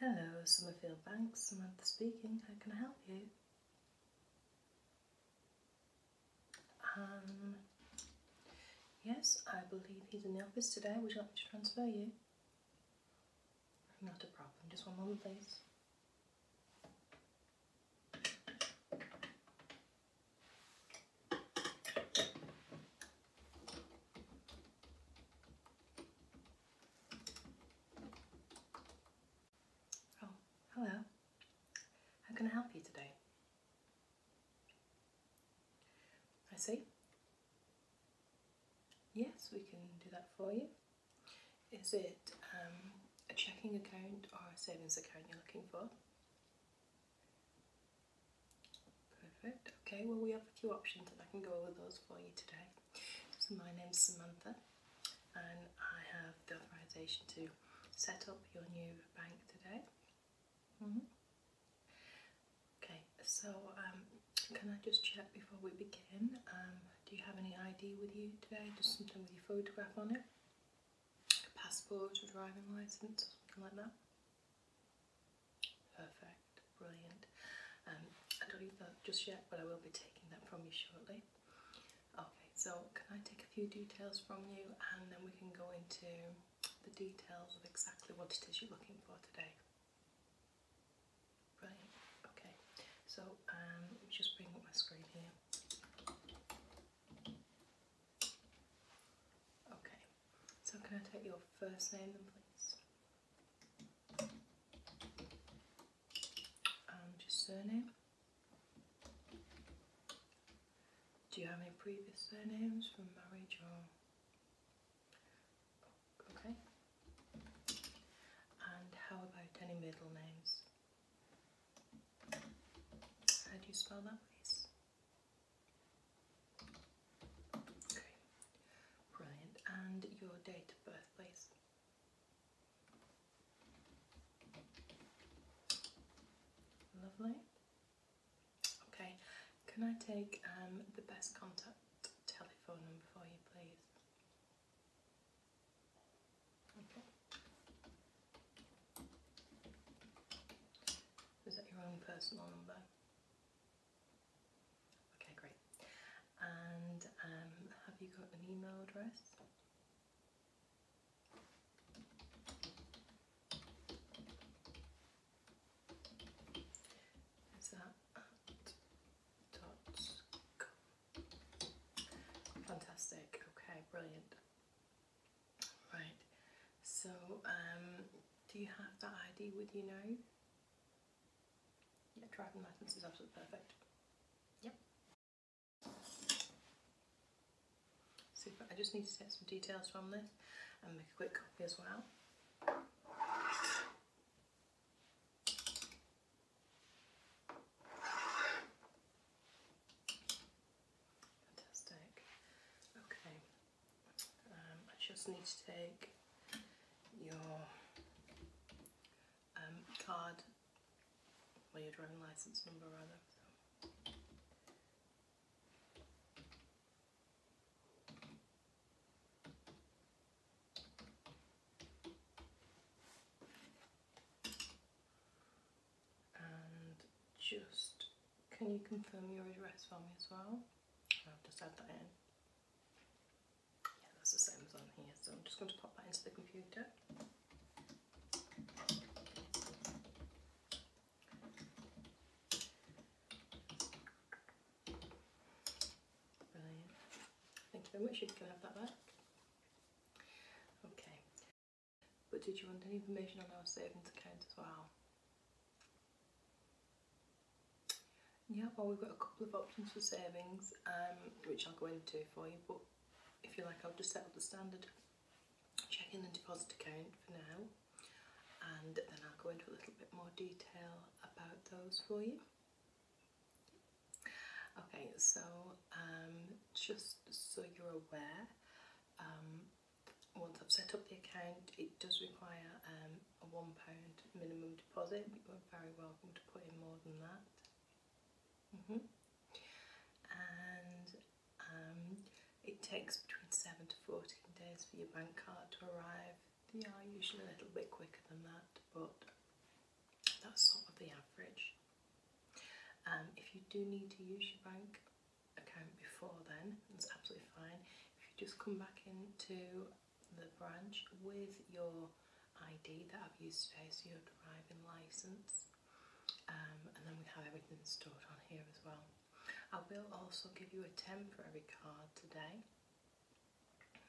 Hello, Summerfield Banks. Samantha speaking. How can I help you? Um, yes, I believe he's in the office today. Would you like me to transfer you? Not a problem. Just one moment, please. Oh, hello. How can I help you today? I see. Yes, we can do that for you. Is it um, a checking account or a savings account you're looking for? Perfect. Okay, well we have a few options and I can go over those for you today. So my name's Samantha and I have the authorization to set up your new bank today. Mm-hmm. Okay, so um, can I just check before we begin, um, do you have any ID with you today? Just something with your photograph on it? passport or driving license or something like that. Perfect, brilliant. Um, I don't need that just yet, but I will be taking that from you shortly. Okay, so can I take a few details from you and then we can go into the details of exactly what it is you're looking for today? Brilliant, okay. So um, just bring up my screen here. Okay, so can I take your first name then please? And your surname? Do you have any previous surnames from marriage or...? Okay. And how about any middle names? How do you spell that please? brilliant. And your date of birth, please. Lovely. Okay, can I take um, the best contact telephone number for you, please? Okay. Is that your own personal number? Okay, great. And um, have you got an email address? Is that at dot com? Fantastic. Okay, brilliant. Right, so um, do you have the ID with you now? Yeah, driving license is absolutely perfect. Yep. Super, I just need to get some details from this and make a quick copy as well. Fantastic. Okay, um, I just need to take your um, card, or your driving license number rather. And just can you confirm your address for me as well? I've just add that in. Yeah, that's the same as on here, so I'm just going to pop that into the computer. Brilliant. Thank you very much, you can have that back. Okay, but did you want any information on our savings account as well? Yeah, well we've got a couple of options for savings, um, which I'll go into for you, but if you like I'll just set up the standard checking and deposit account for now, and then I'll go into a little bit more detail about those for you. Okay, so um, just so you're aware, um, once I've set up the account, it does require um, a £1 minimum deposit, but you're very welcome to put in more than that. -hmm. And um, it takes between 7 to 14 days for your bank card to arrive. They are usually a little bit quicker than that, but that's sort of the average. Um, if you do need to use your bank account before then, that's absolutely fine. If you just come back into the branch with your ID that I've used today, so your driving licence, um, and then we have everything stored on here as well. I will also give you a 10 for every card today.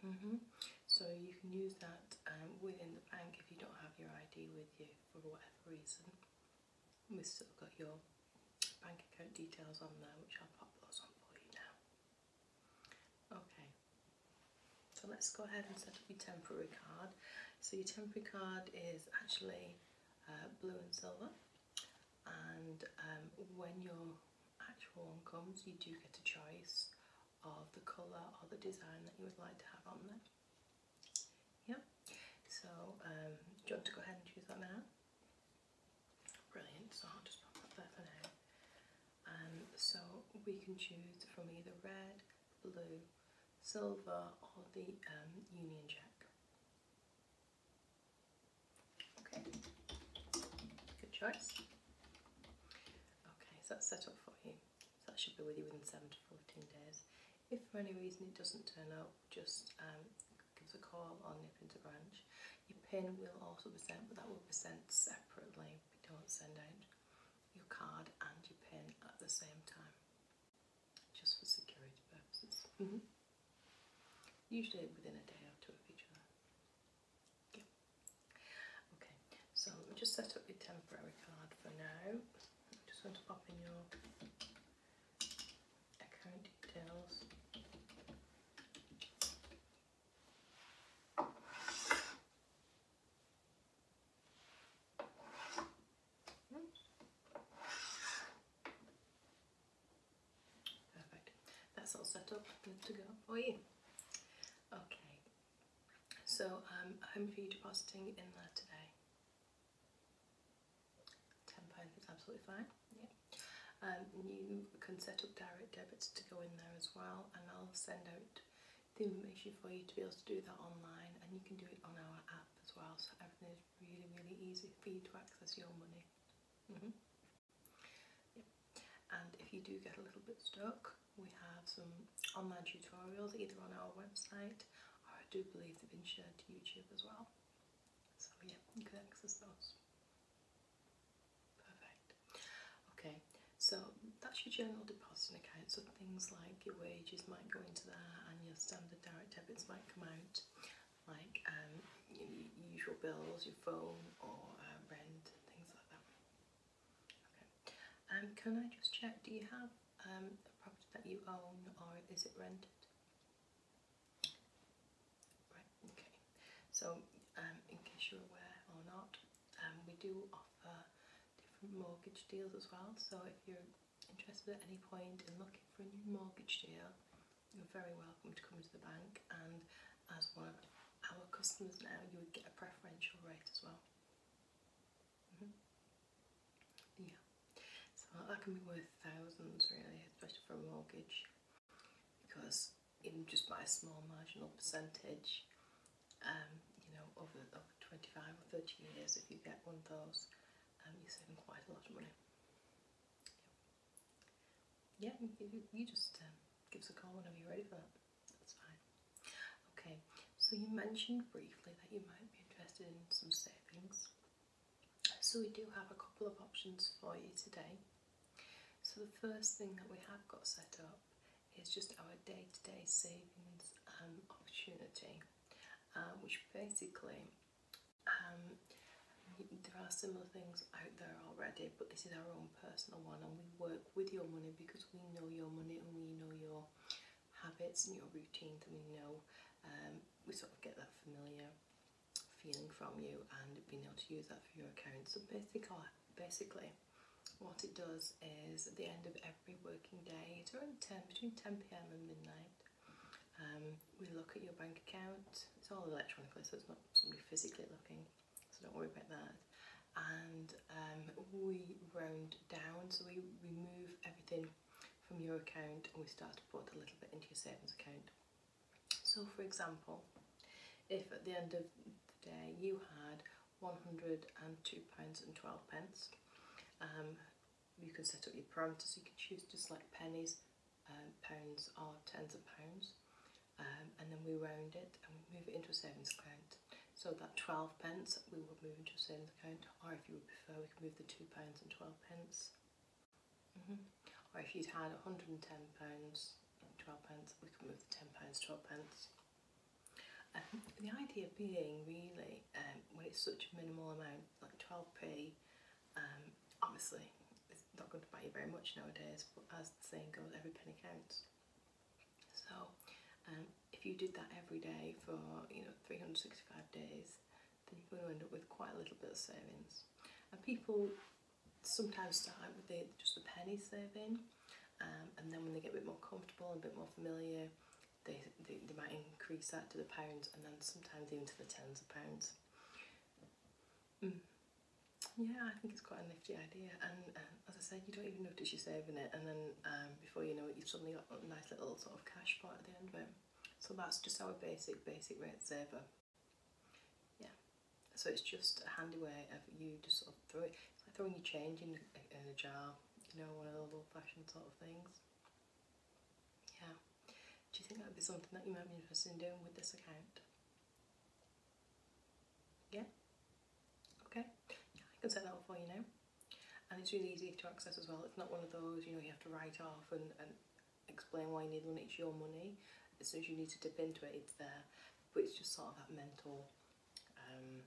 Mm-hmm. So you can use that um, within the bank if you don't have your ID with you for whatever reason we've still got your bank account details on there, which I'll pop those on for you now. Okay, so let's go ahead and set up your temporary card. So your temporary card is actually uh, blue and silver, and um, when your actual one comes, you do get a choice of the colour or the design that you would like to have on there. Yeah, so um, do you want to go ahead and choose that now? Brilliant, so I'll just pop that there for now. Um, so we can choose from either red, blue, silver or the um, union jack. Okay, good choice. Okay, so that's set up for you. So that should be with you within 7 to 14 days. If for any reason it doesn't turn up, just um, give us a call or nip into branch. Your pin will also be sent, but that will be sent separately. We don't send out your card and your pin at the same time, just for security purposes. Mm-hmm. Usually within a day or two of each other. Yeah. Okay, so just set up your temporary card for now. just going to pop in your Echo details. Perfect. That's all set up, good to go for you. Okay. So um, I'm home for you depositing in there today. £10 is absolutely fine. Yeah. Um, you can set up direct debits to go in there as well, and I'll send out the information for you to be able to do that online, and you can do it on our app as well. So everything is really, really easy for you to access your money. -hmm. yep. And if you do get a little bit stuck, we have some online tutorials either on our website I do believe they've been shared to YouTube as well. So yeah, you can access those. Perfect. Okay, so that's your general deposit account. So things like your wages might go into there and your standard direct debits might come out, like um, your usual bills, your phone or uh, rent and things like that. Okay. Um, can I just check, do you have um, a property that you own or is it rented? Right, okay. So, um, in case you're aware or not, um, we do offer different mortgage deals as well. So, if you're interested at any point in looking for a new mortgage deal, you're very welcome to come to the bank. And as one of our customers now, you would get a preferential rate as well. Mm-hmm. Yeah, so that can be worth thousands really, especially for a mortgage, because even just by a small marginal percentage, um, you know, over, over 25 or 30 years, if you get one of those, um, you're saving quite a lot of money. Yeah, you, just um, give us a call whenever you're ready for that. That's fine. Okay, so you mentioned briefly that you might be interested in some savings. So we do have a couple of options for you today. So the first thing that we have got set up is just our day-to-day savings um, opportunity, um, which basically um, there are similar things out there already, but this is our own personal one, and we work with your money because we know your money and we know your habits and your routine that we know. Um, we sort of get that familiar feeling from you and being able to use that for your account. So basically, basically what it does is at the end of every working day, it's around 10, between 10pm and midnight, um, we look at your bank account. It's all electronically, so it's not somebody physically looking, so don't worry about that. And um, we round down, so we remove everything from your account and we start to put a little bit into your savings account. So for example, if at the end of the day you had £102.12, um, you can set up your parameters, you can choose just like pennies, um, pounds or tens of pounds um, and then we round it and move it into a savings account. So that 12 pence we would move into a savings account or if you would prefer we can move the £2 and 12 pence. Mm-hmm. Or if you'd had £110, 12 pence, we could move the £10, 12 pence. Um, the idea being really, um, when it's such a minimal amount, like 12p, um, obviously it's not going to buy you very much nowadays, but as the saying goes, every penny counts. So if you did that every day for you know 365 days, then you're going to end up with quite a little bit of savings. And people sometimes start out with the, just the penny saving, um, and then when they get a bit more comfortable and a bit more familiar, they, they, might increase that to the pounds and then sometimes even to the tens of pounds. Mm. Yeah, I think it's quite a nifty idea. And uh, as I said, you don't even notice you're saving it. And then um, before you know it, you've suddenly got a nice little sort of cash pot at the end of it. So that's just our basic, basic rate saver. Yeah. So it's just a handy way of you just sort of throw it. throwing your change in a, jar, you know, one of those old fashioned sort of things. Yeah. Do you think that would be something that you might be interested in doing with this account? Yeah? Okay. I can set that up for you now and it's really easy to access as well. It's not one of those, you know, you have to write off and, and explain why you need one, it's your money. As soon as you need to dip into it, it's there. But it's just sort of that mental, um,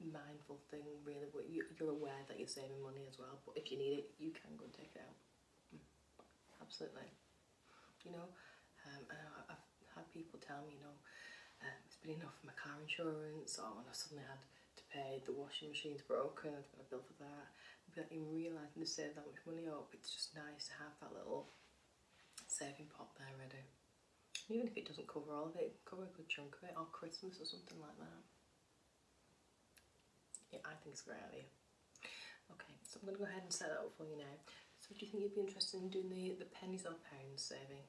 mindful thing, really, where you, are aware that you're saving money as well. But if you need it, you can go and take it out. Mm. Absolutely. You know, um, I've had people tell me, you know, um, it's been enough for my car insurance, or when I suddenly had to pay. The washing machine's broken. I've got a bill for that. Without even realising to save that much money up, it's just nice to have that little saving pot there ready. Even if it doesn't cover all of it, cover a good chunk of it, or Christmas or something like that. Yeah, I think it's a great idea. Okay, so I'm going to go ahead and set that up for you now. So do you think you'd be interested in doing the, the pennies or pounds saving?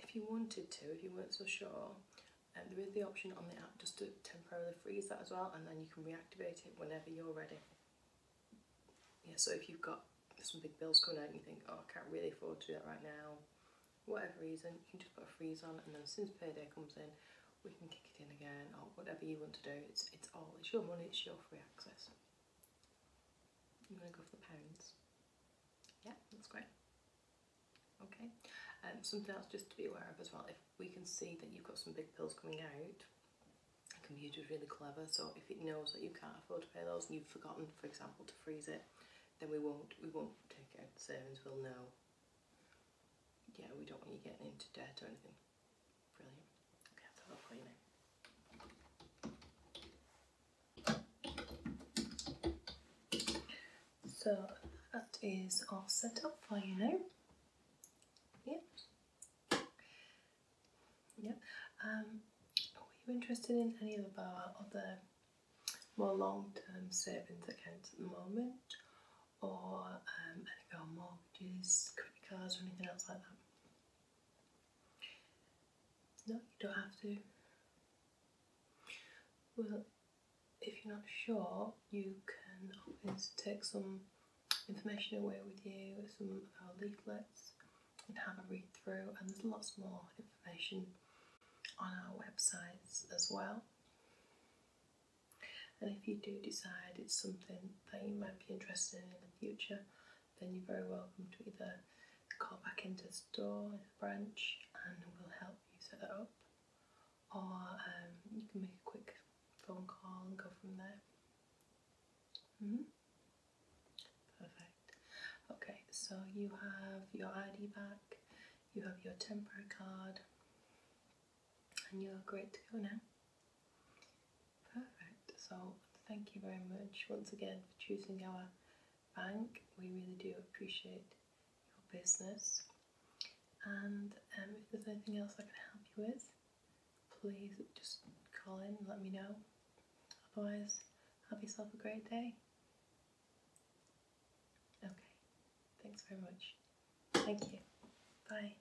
if you wanted to, if you weren't so sure, um, there is the option on the app just to temporarily freeze that as well, and then you can reactivate it whenever you're ready. Yeah, so if you've got some big bills coming out and you think, oh, I can't really afford to do that right now, whatever reason, you can just put a freeze on, and then as soon as payday comes in, we can kick it in again, or whatever you want to do. It's it's all it's your money, it's your free access. I'm gonna go for the pounds. Yeah, that's great. Okay, um, something else just to be aware of as well, if we can see that you've got some big bills coming out, the computer's really clever, so if it knows that you can't afford to pay those and you've forgotten, for example, to freeze it, then we won't, we won't take it out the savings, we'll know. Yeah, we don't want you getting into debt or anything. Brilliant. Okay, I'll so that is all set up for you now. Yeah. Yeah. were um, you interested in any of our other more long-term savings accounts at the moment? Or um, any of our mortgages, credit cards or anything else like that? No, you don't have to. Well, if you're not sure, you can always take some information away with you, some of our leaflets, and have a read through. And there's lots more information on our websites as well. And if you do decide it's something that you might be interested in in the future, then you're very welcome to either call back into the store in the branch and we'll help you set that up or um, you can make a quick phone call and go from there. -hmm. Perfect. Okay, so you have your ID back, you have your temporary card, and you're great to go now. Perfect. So, thank you very much once again for choosing our bank. We really do appreciate your business. And um, if there's anything else I can help you with, please just call in and let me know. Otherwise, have yourself a great day. Okay, thanks very much. Thank you. Bye.